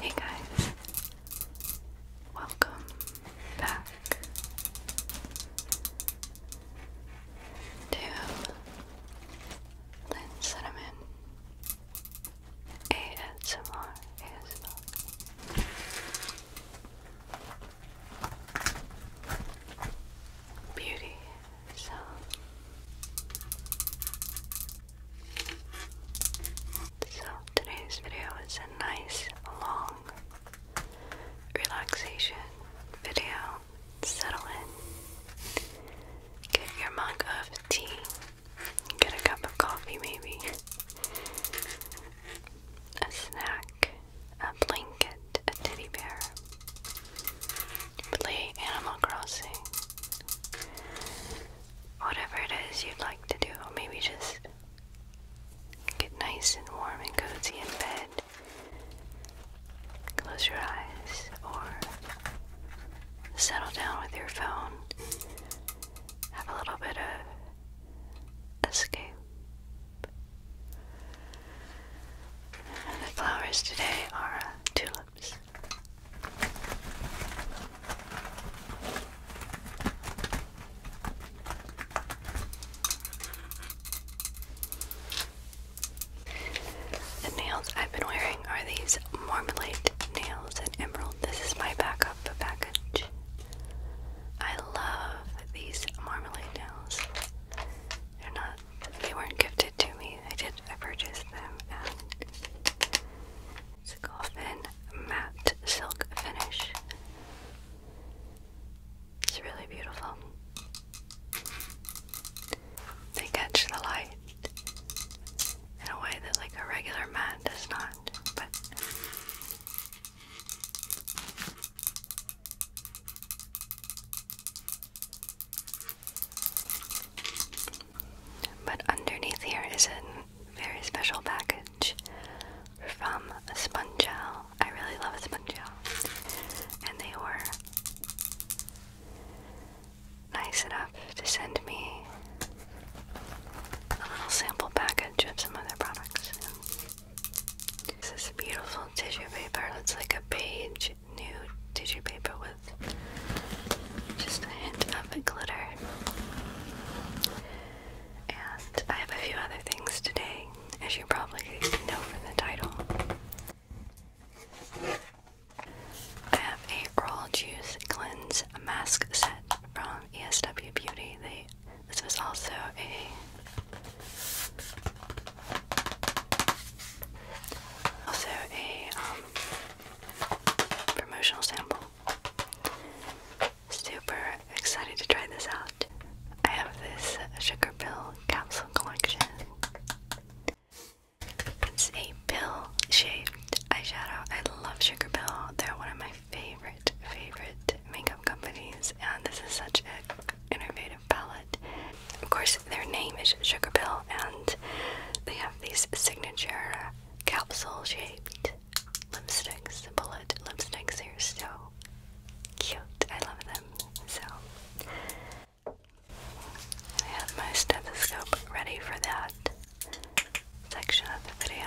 Hey guys, welcome back to Lynn Cinnamon ASMR Beauty sound so today's video is a nice long relaxation video. Settle in. Get your mug of tea. Get a cup of coffee maybe. A snack. A blanket. A teddy bear. Play Animal Crossing whatever it is you'd like to do. Maybe just get nice and warm and cozy in bed. Close your eyes or settle down with your phone. Have a little bit of escape. the flowers today are tulips. The nails I've been wearing are these marmalade nails and emerald. This is my backup package. I love these marmalade nails. They're not they weren't gifted to me. I did I purchased them it's a coffin matte silk finish. It's really beautiful. They catch the light in a way that like a regular matte does not, but but underneath here is a very special package from Sponge Spongel. I really love Sponge Spongel. And they were nice enough to send me a little sample package of some of their products. This is beautiful tissue paper. It's like a page new tissue paper with just a hint of glitter and I have a few other things today, as you probably know from the title. I have a Raw Juice Cleanse Mask Set from ESW Beauty. They, this was also a also a um, promotional sample Super excited to try this out. I have this sugar pill capsule collection. It's a pill shaped eyeshadow. I love Sugar Pill. They're one of my favorite, favorite makeup companies, and this is such an innovative palette. Of course, their name is Sugar Pill, and they have these signature capsule shaped lipsticks. The bullet lipsticks are so cute. I love them. So I have my stethoscope ready for that section of the video.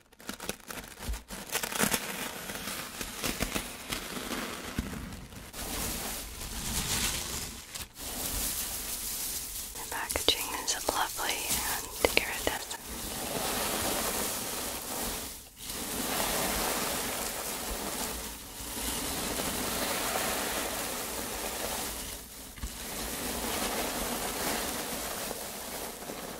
The packaging is lovely and iridescent.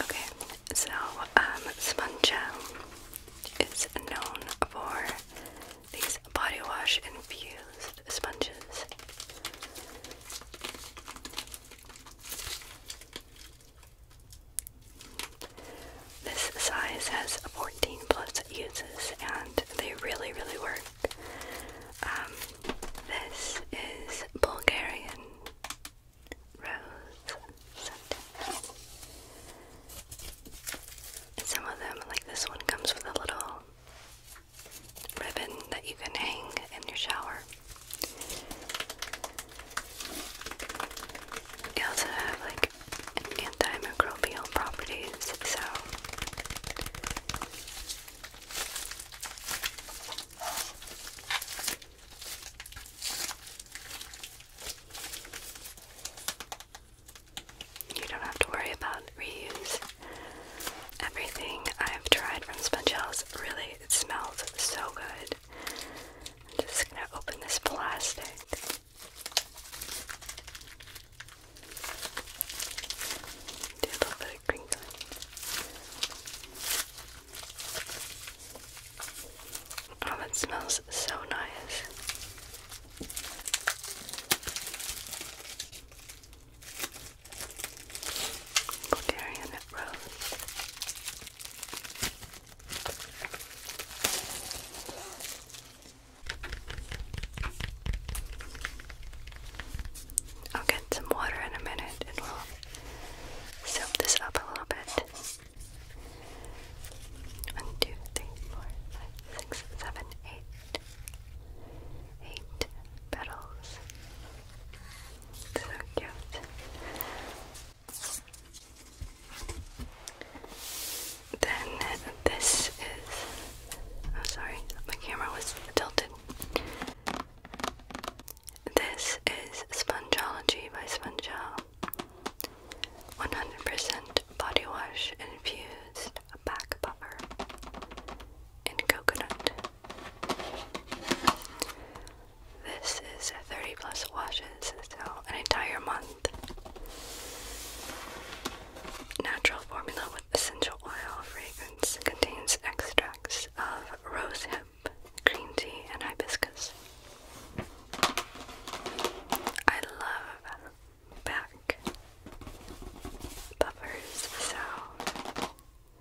Okay, so um, Spongel is known for these body wash infused sponges. This size has 14 plus uses and they really, really work. Um, this is Bulgarian rose scent. some of them, like this one, comes with a little ribbon that you can hang in your shower. They also have like antimicrobial properties, so you don't have to worry about reuse. Everything I've tried from sponge Spongel's really it smells so good. I'm just gonna open this plastic. Do a little bit of crinkling. Oh, that smells so nice. I'll get some water in a minute and we'll soak this up a little bit. One, two, three, four, five, six, seven, eight. Eight petals they cute. Then this is. oh, sorry, my camera was tilted. This is Spongeology by Spongel. 100% body wash infused back buffer in coconut. This is 30 plus washes, so an entire month. Natural formula with essential oil fragrance contains extracts of rose green tea, and hibiscus. I love back buffers, so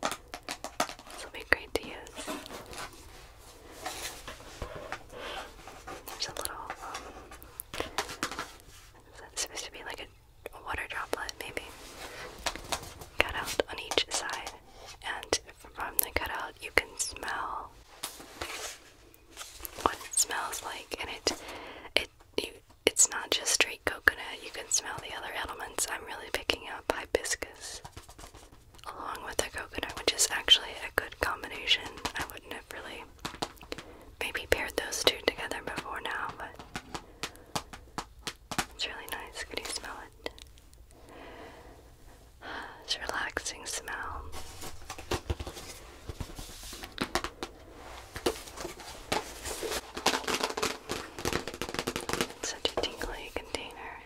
this will be great to use. There's a little, um, that's supposed to be like a, a water droplet, maybe, cut out on each side. And from the cutout, you can smell what it smells like, and it, it, you, it's not just straight coconut. You can smell the other elements. I'm really picking up hibiscus along with the coconut, which is actually a good combination. I wouldn't have really maybe paired those two together before now, but it's really nice. Can you smell it? It's a relaxing smell. such a tingly container.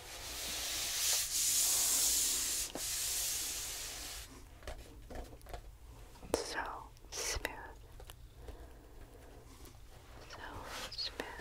So smooth. So smooth.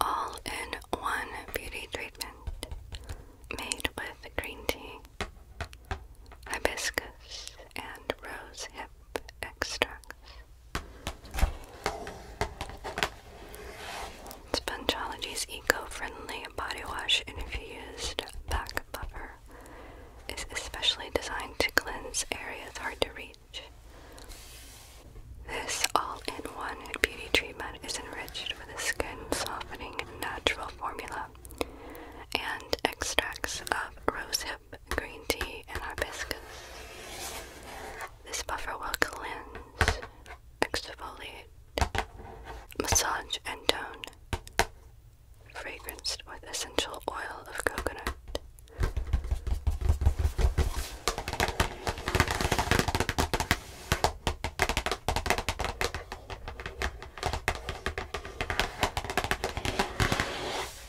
All in one beauty treatment made with green tea, hibiscus, and rose hip extracts. Spongeology's eco-friendly body wash infused back buffer is especially designed to cleanse areas hard to reach. This all-in-one beauty treatment is enriched with a skin-softening natural formula and extracts of rosehip green tea, and hibiscus. This buffer will cleanse, exfoliate, massage, and tone. Fragranced with essential oil of coconut.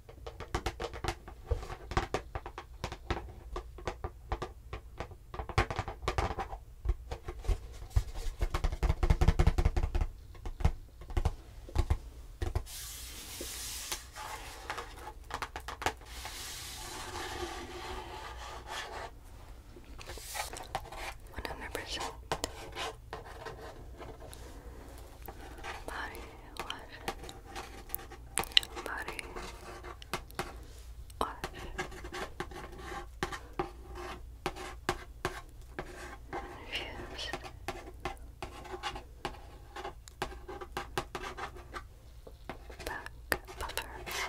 100% body wash, body wash. Infused. Back buffer.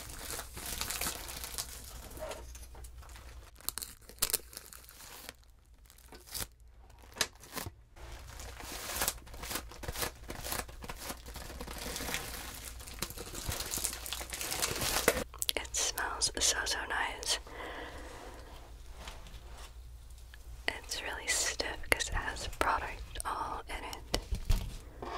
It smells so, so nice. It's really stiff because it has product all in it. No.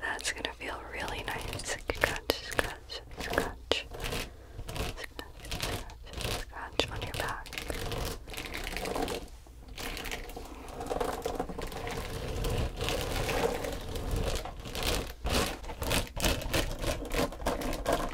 That's gonna feel really nice. Scratch, scratch, scratch. Scratch, scratch, scratch back.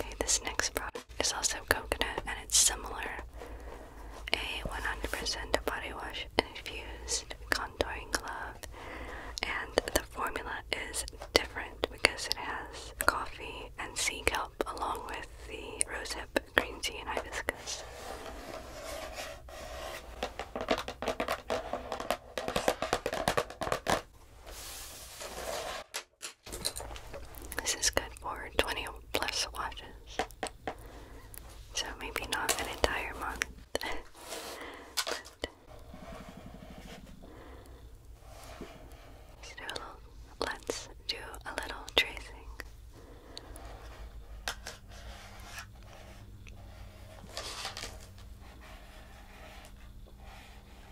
Okay, this next product is also coconut and it's similar. A 100% body wash infused contouring glove, and the formula is different because it has coffee and sea kelp along with the rosehip, green tea, and hibiscus. This is good for 20 plus watches, So maybe not an entire month. let's do a little tracing.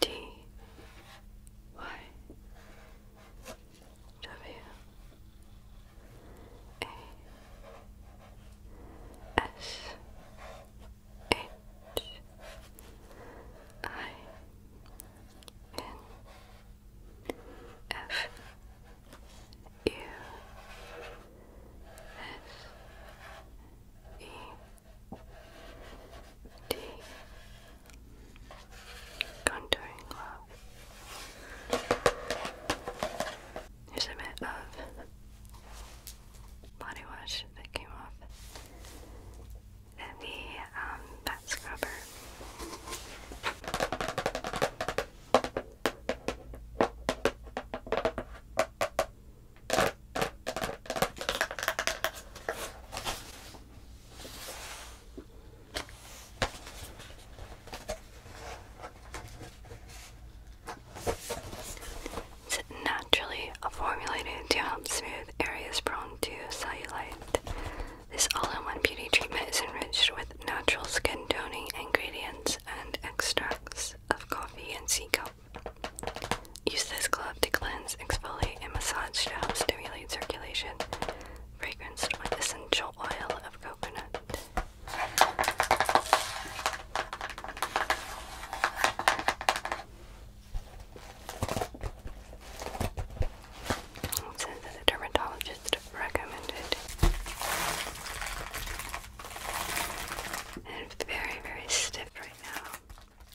D Y W A S H I N F U S E D contouring glove. a bit of body wash that came off and the um, scrubber. It's naturally formulated to help smooth areas prone to cellulite. This all-in-one beauty treatment is enriched with natural skin toning ingredients and extracts of coffee and sea kelp. Use this glove to cleanse exfoliate and massage to help stimulate circulation, fragranced with essential oil of coconut. It says the dermatologist recommended. it's very, very stiff right now.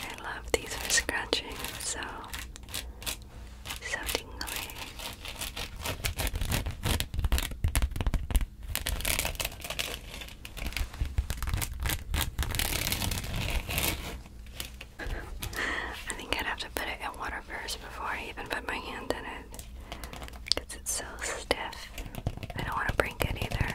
I love these for scratching, so so tingly. I think I'd have to put it in water first before I even put my hand in it. Because it's so stiff. I don't want to break it either.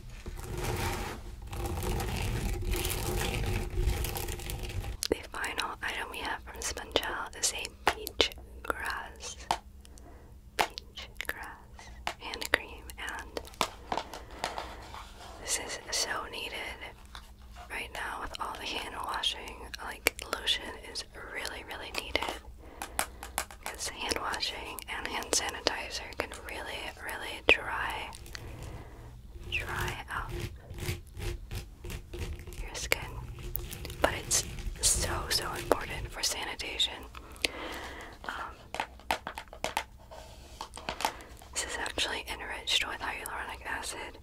The final item we have from Sponge is a peach grass, peach grass hand cream, and this is so needed right now with all the hand washing. Like lotion is really, really needed because hand washing and hand sanitizer can really, really really dry, dry out your skin. But it's so, so important for sanitation. Um, this is actually enriched with hyaluronic acid,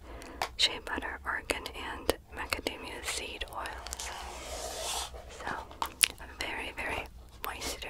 shea butter, argan, and macadamia seed oil. So, very, very moisture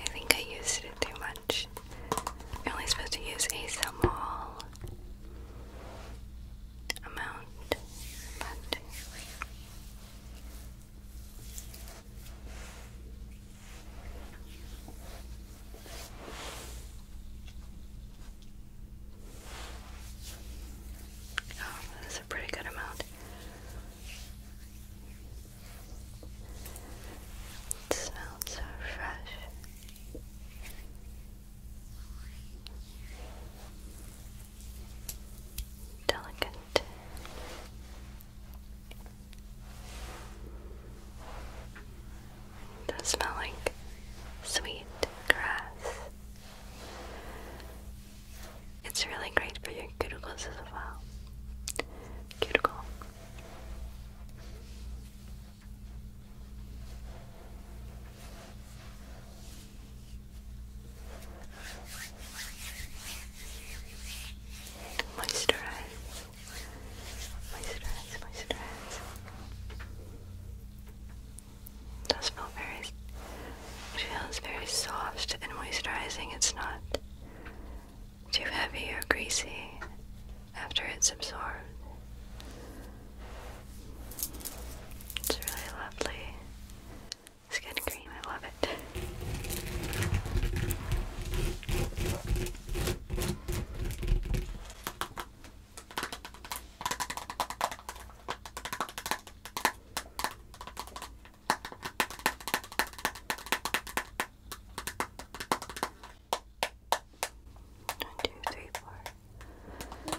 I think I used it too much. I'm only supposed to use a small amount, but oh, that's a pretty good amount. It smells so fresh delicate. It does smell like sweet grass. It's really great for your cuticles as well. Cuticle. Moisturize, moisturize, moisturize. It does feel very, it feels very soft and moisturizing. It's not too heavy or greasy after it's absorbed. It's really lovely skin cream, I love it. One, two, three, four. One,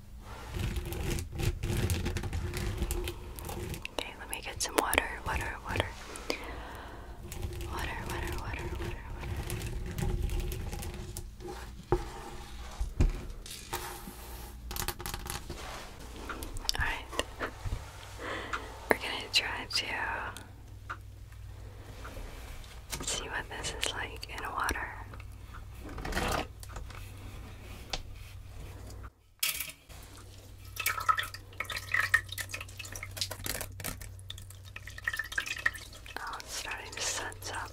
Okay, let me get some water, water, water. Water, water, water, water, Alright. We're gonna try to see what this is like in water. Oh, it's starting to sense up.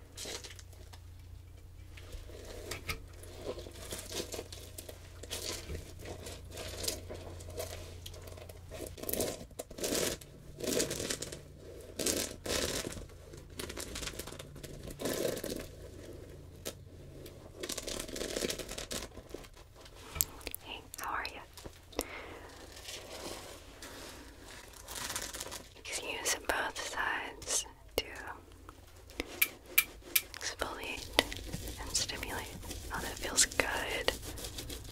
Hey, how are you? use both sides to exfoliate and stimulate. Oh, that feels good.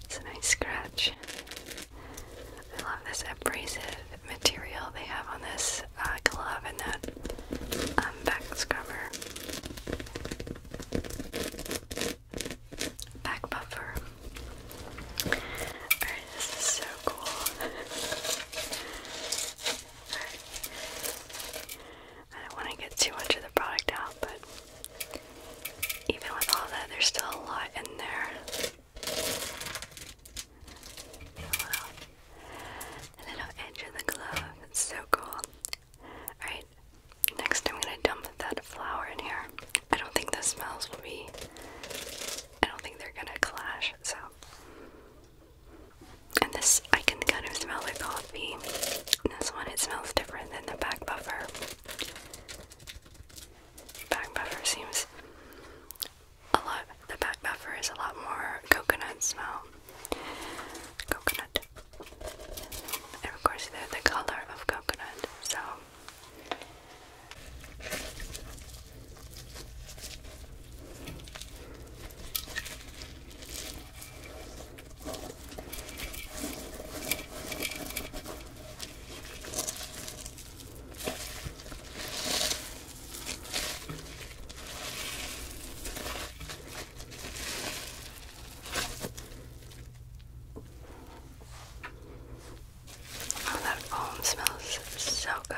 It's a nice scratch. I love this abrasive material they have on this uh, glove and that um, back scrubber. Back buffer. This is so cool. Alright. I don't want to get too much of the product out, but even with all that, there's still a lot in there. Wow. The little edge of the glove. It's so cool. Alright, next I'm going to dump that flower in here. I don't think the smells will be. I don't think they're gonna clash so and this I can kind of smell the coffee. this one it smells different than the back buffer. Back buffer seems a lot the back buffer is a lot more coconut smell. Coconut. And of course they the color of coconut, so Oh, that foam smells so good.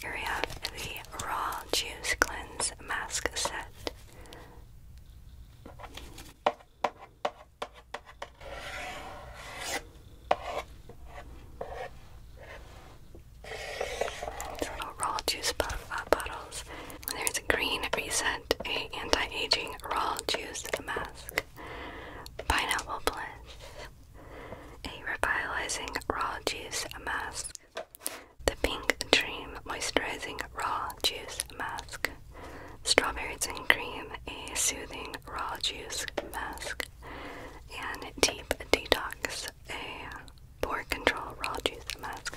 Here we have the Raw Juice Cleanse Mask Set. Little raw juice puff uh, bottles. there's a green reset, a anti-aging raw juice mask, pineapple bliss, a revitalizing raw juice mask, the Pink Dream Moisturizing Raw Juice Mask. Strawberries and Cream, a soothing raw juice mask. And Deep Detox, a pore control raw juice mask.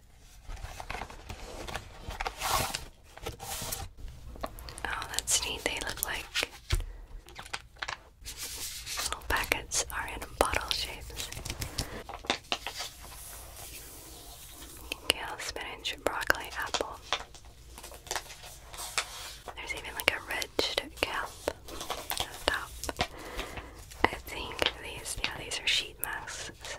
Oh, that's neat. They look like little packets are in bottle shapes. Kale, spinach, broccoli, apple. There's even like a ridged cap on top. I think these, yeah, these are sheet masks, so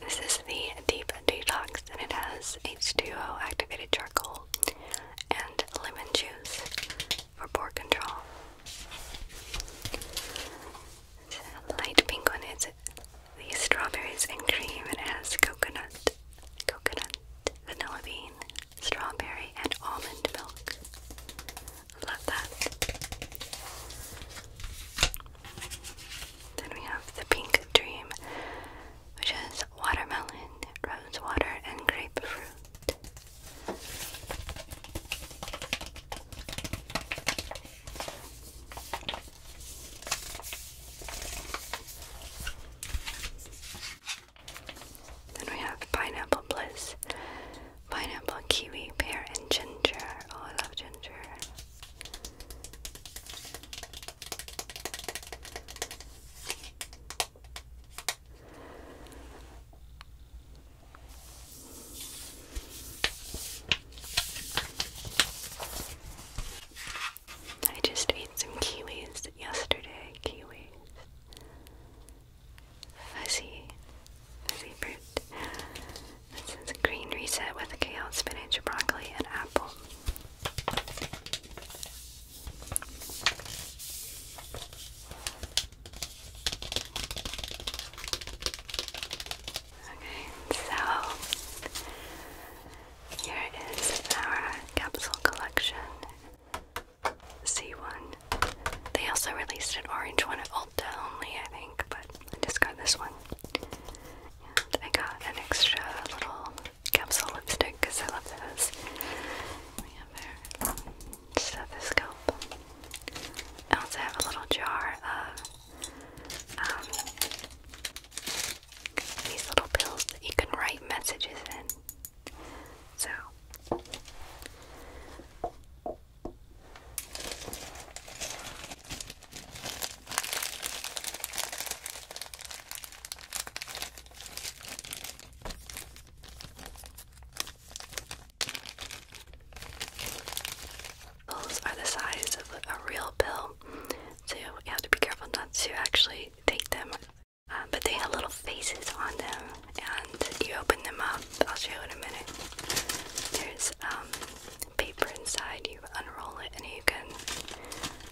this is the Deep Detox, and it has H2O activated charcoal and lemon juice for pore control. The light pink one is the strawberries and cream, and it has coconut, coconut, vanilla bean, strawberry and almond milk. Love that. Then we have the pink dream, which is watermelon, rose water, and grapefruit. Then we have pineapple bliss, pineapple, kiwi, pear, and ginger. Oh, I love ginger. I just ate some kiwis yesterday. Kiwis. Fuzzy, fuzzy fruit. This is green reset with kale, spinach, broccoli, and apple. Okay, so here is our capsule collection. C1. They also released an orange one at Ulta only, I think, but I just got this one. I got an extra little capsule lipstick because I love those. We have our I also have a little jar of um, these little pills that you can write messages in. So Pills are the size of a real pill, so you have to be careful not to actually take them uh, but they have little faces on them, and you open them up. I'll show you in a minute. There's um, paper inside. You unroll it, and you can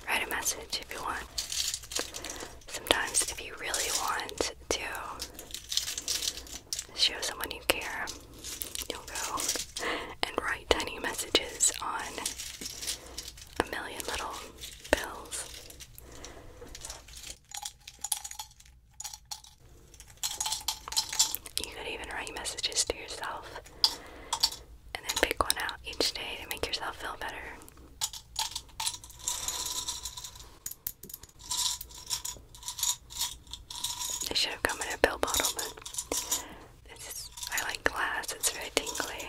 write a message if you want. Sometimes, if you really want to show someone you care, you'll go and write tiny messages on a million little pills. You could even write messages to yourself and then pick one out each day to make yourself feel better. It should have come in a pill bottle, but this I like glass, it's very tingly.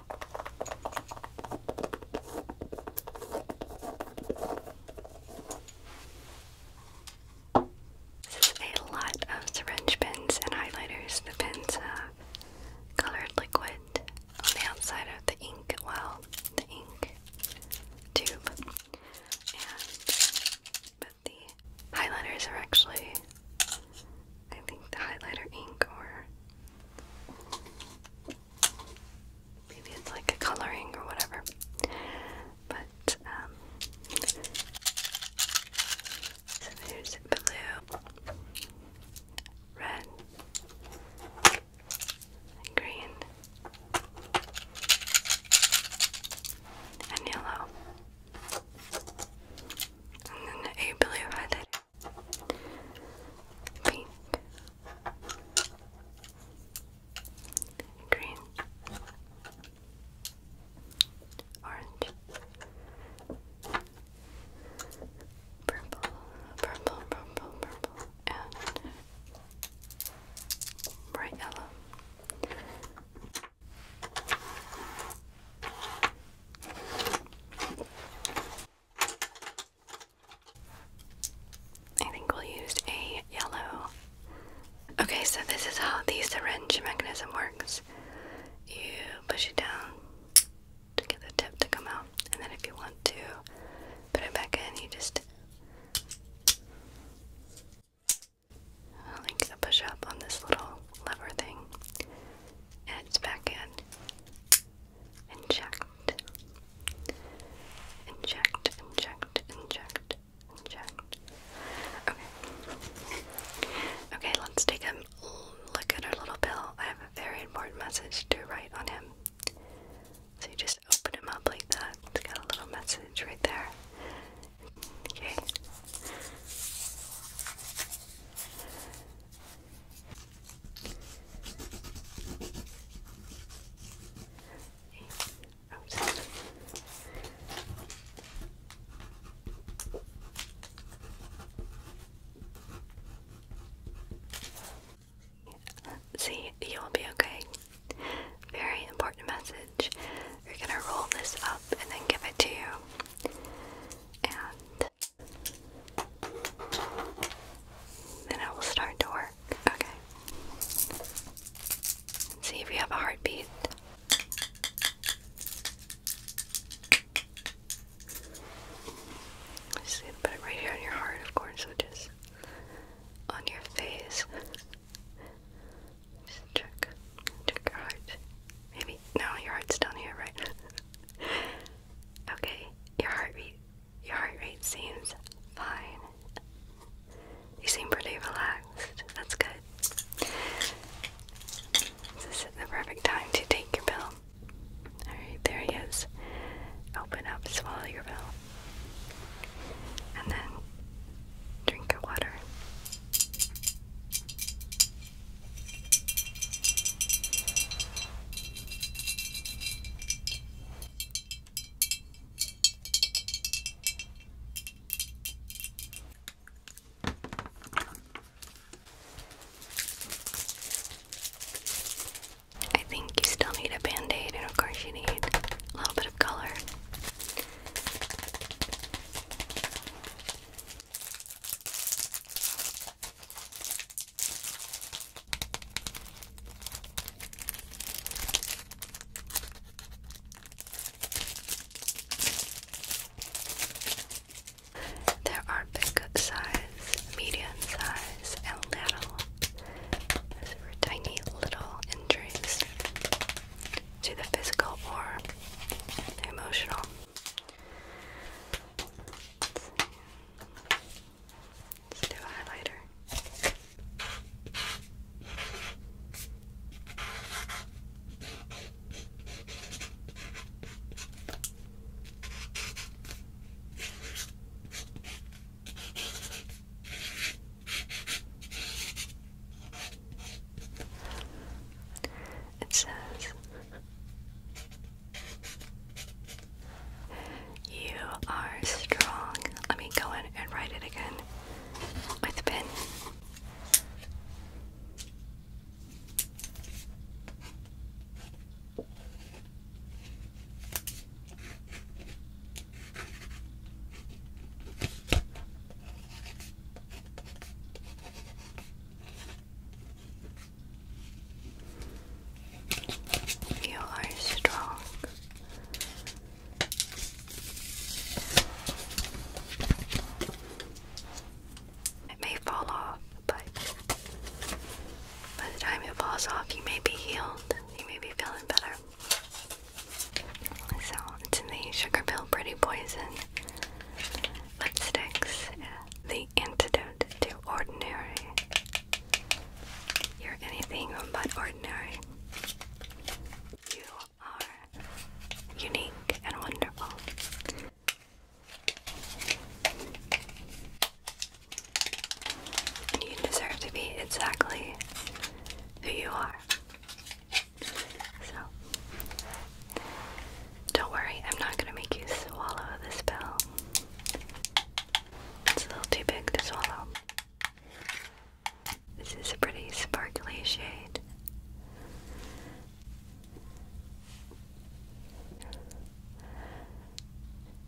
This is a lot of syringe pins and highlighters. The pens have colored liquid on the outside of the ink, well, the ink tube. but the highlighters are actually I think the highlighter ink or Maybe it's like a coloring or whatever. But, um, so there's blue, red, green, and yellow. And then a blue headed pink, green, orange, purple, purple, purple, purple, and bright yellow. I think we'll use a yellow. Okay, so this is how the syringe mechanism works. You push it down to get the tip to come out, and then if you want to put it back in, you just i push up on this little lever thing, and it's back in inject, inject, inject, inject, inject. Okay. Okay, let's take a look at our little pill. I have a very important message to write on him. So you just open him up like that. It's got a little message right there. Okay. See, you'll be okay. Very important message. You're gonna roll this up and then give it to you. And then I will start to work. Okay. see if you have a heartbeat. put it right here on your heart, of course, which is on your face. Just check, check your heart. Maybe no, your heart's down here, right? okay, your heartbeat your heart rate seems fine. You seem pretty relaxed. That's good. This is the perfect time to take your pill. Alright, there he is. Open up, swallow your pill. And then drink your water. I think you still need a band aid, and of course, you need a little bit of color. There are big size, medium size, and little. Those tiny little injuries to the physical or emotional. Let's do a highlighter. It says you are strong. Let me go in and write it again with pen. You are strong. It may fall off, but by the time it falls off, you may be healed. You may be feeling better. So, it's in the Sugar Pill Pretty Poison lipsticks, the antidote to ordinary you're anything but ordinary. You are unique and wonderful. And you deserve to be exactly who you are. So, don't worry, I'm not going to make you swallow this pill. It's a little too big to swallow. This is a pretty sparkly shade.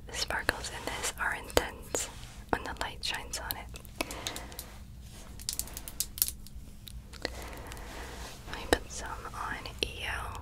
The sparkles in this are intense when the light shines on it. Let me put some on EO.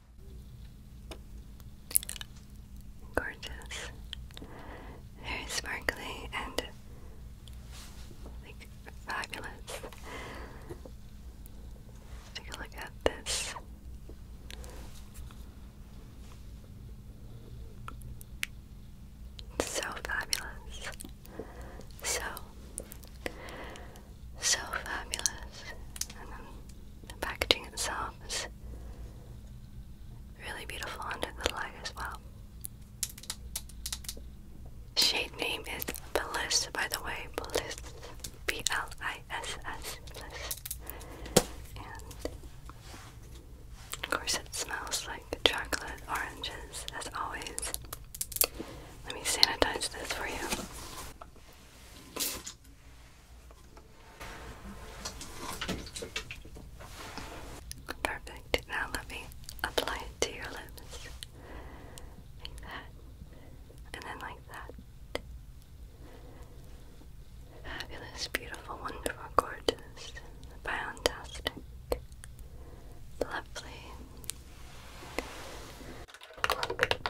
Gorgeous. Very sparkly and like fabulous. take a look at this. So fabulous. So so fabulous. the packaging itself is really beautiful under the light as well. Shade name is Bliss, by the way. Bliss. B L I S S. of course, it smells like chocolate oranges, as always. Let me sanitize this for you. Perfect. Now let me apply it to your lips. Like that. And then like that. Fabulous, beautiful, wonderful, gorgeous, fantastic, lovely. Cross, cross and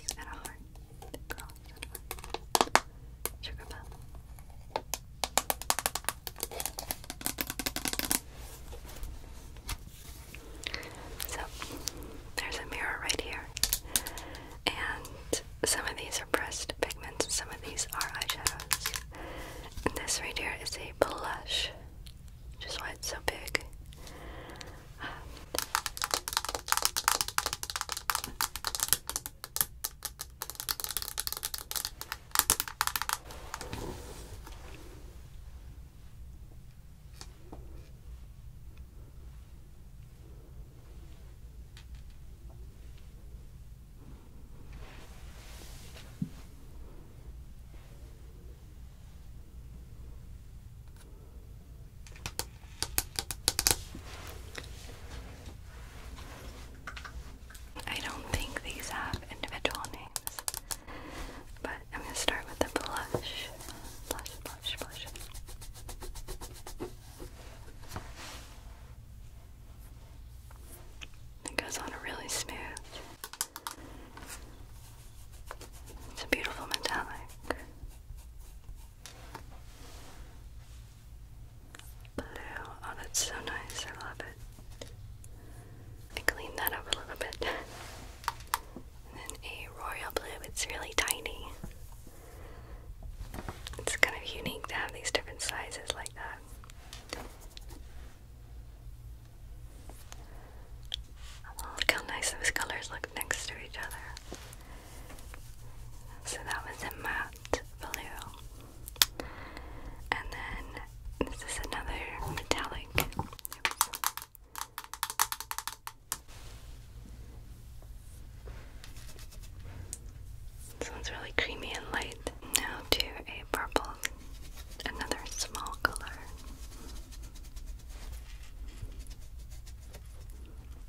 a heart, cross and a heart, sugar bell, so there's a mirror right here, and some of these are pressed pigments, some of these are eyeshadows. And this right here is a blush, which is why it's so big. I don't think these have individual names names. But I'm going to start with the blush. Blush, blush, blush. It goes on a really smooth. It's a beautiful metallic. Blue. Oh, that's so nice. I love it. I cleaned that up a little bit. then a royal blue, it's really tiny. It's kind of unique to have these different sizes like that. look how nice those colors look next to each other. So that was a matte blue. And then this is another metallic. This one's really creamy and light. Now to a purple, another small color.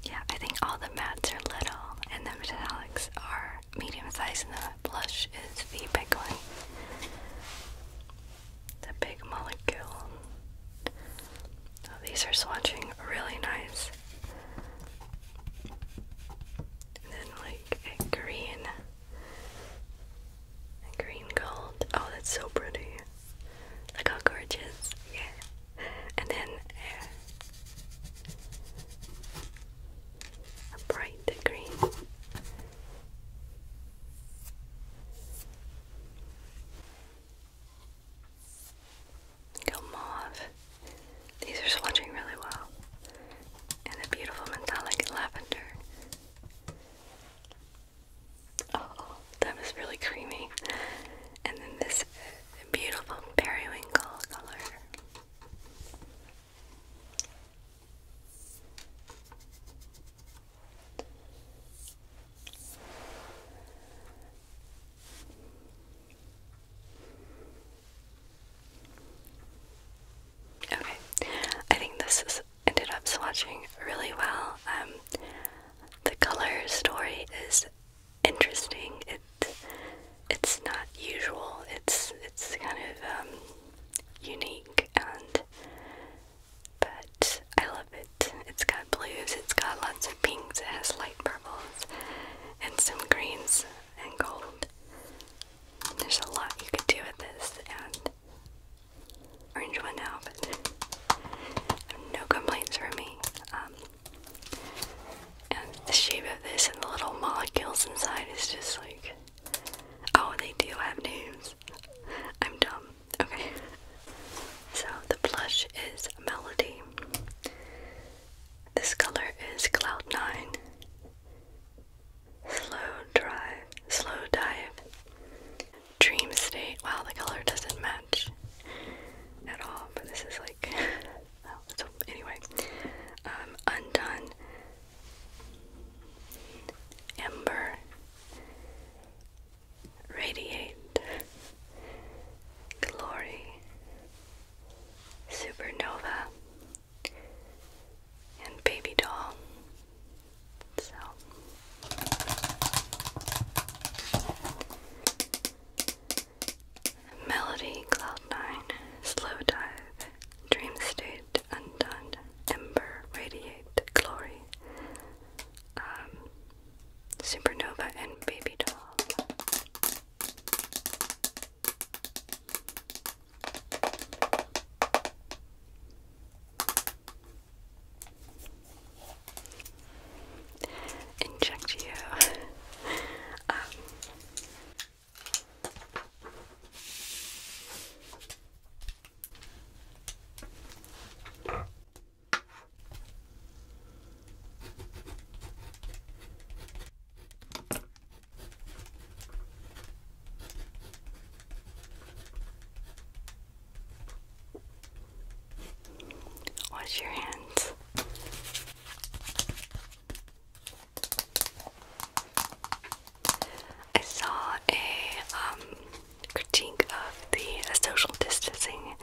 Yeah, I think all the mattes are little and the metallics are medium size and the blush is the big one. The big molecule. Oh, these are swatching really nice. And then like a green. A green gold. Oh, that's so pretty. Look how gorgeous. Yeah. And then a bright green. Go mauve. These are swatching really well. And a beautiful metallic lavender. Oh, that was really creamy. And then this beautiful periwinkle color. Okay, I think this is ended up swatching really well. Um, the color story is interesting. It it's not usual. It's it's kind of um, unique and but I love it. It's got blues, it's got lots of pinks, it has light purples and some greens and gold. There's a lot you could do with this and orange one now, but no complaints from me. Um, and the shape of this and the little molecules inside is just like Oh, they do have names. I'm dumb. Okay. So the blush is Melody. This color is Cloud Nine. Slow drive. Slow dive. Dream state. Wow, the color doesn't match at all. But this is like. oh, so anyway, um, undone. Ember, Radiate, Glory, Supernova, and Baby Doll. So. Melody, Cloud Nine, Slow Dive, Dream State, undone ember radiate glory um, supernova and baby doll Inject you. Um, Wash your hands. I saw a um, critique of the uh, social distancing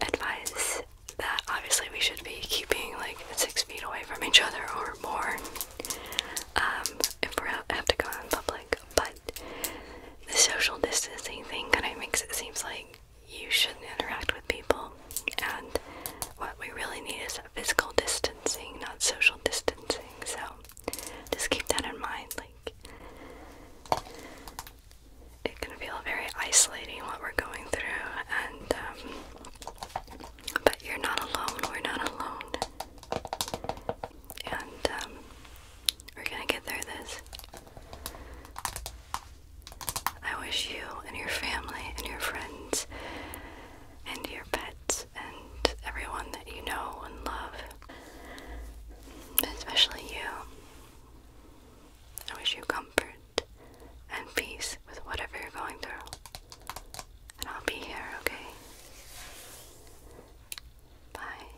advice that obviously we should be keeping like six feet away from each other or more um, if we have to go out in public. But the social distancing thing kind of makes it seems like you shouldn't interact with people, and what we really need is physical distancing, not social distancing. So just keep that in mind. Like, it can feel very isolating what we're going through, and um, but you're not alone. We're not alone, and um, we're gonna get through this. I wish you and your family and your friends and your pets and everyone that you know and love, especially you. I wish you comfort and peace with whatever you're going through. And I'll be here, okay? Bye.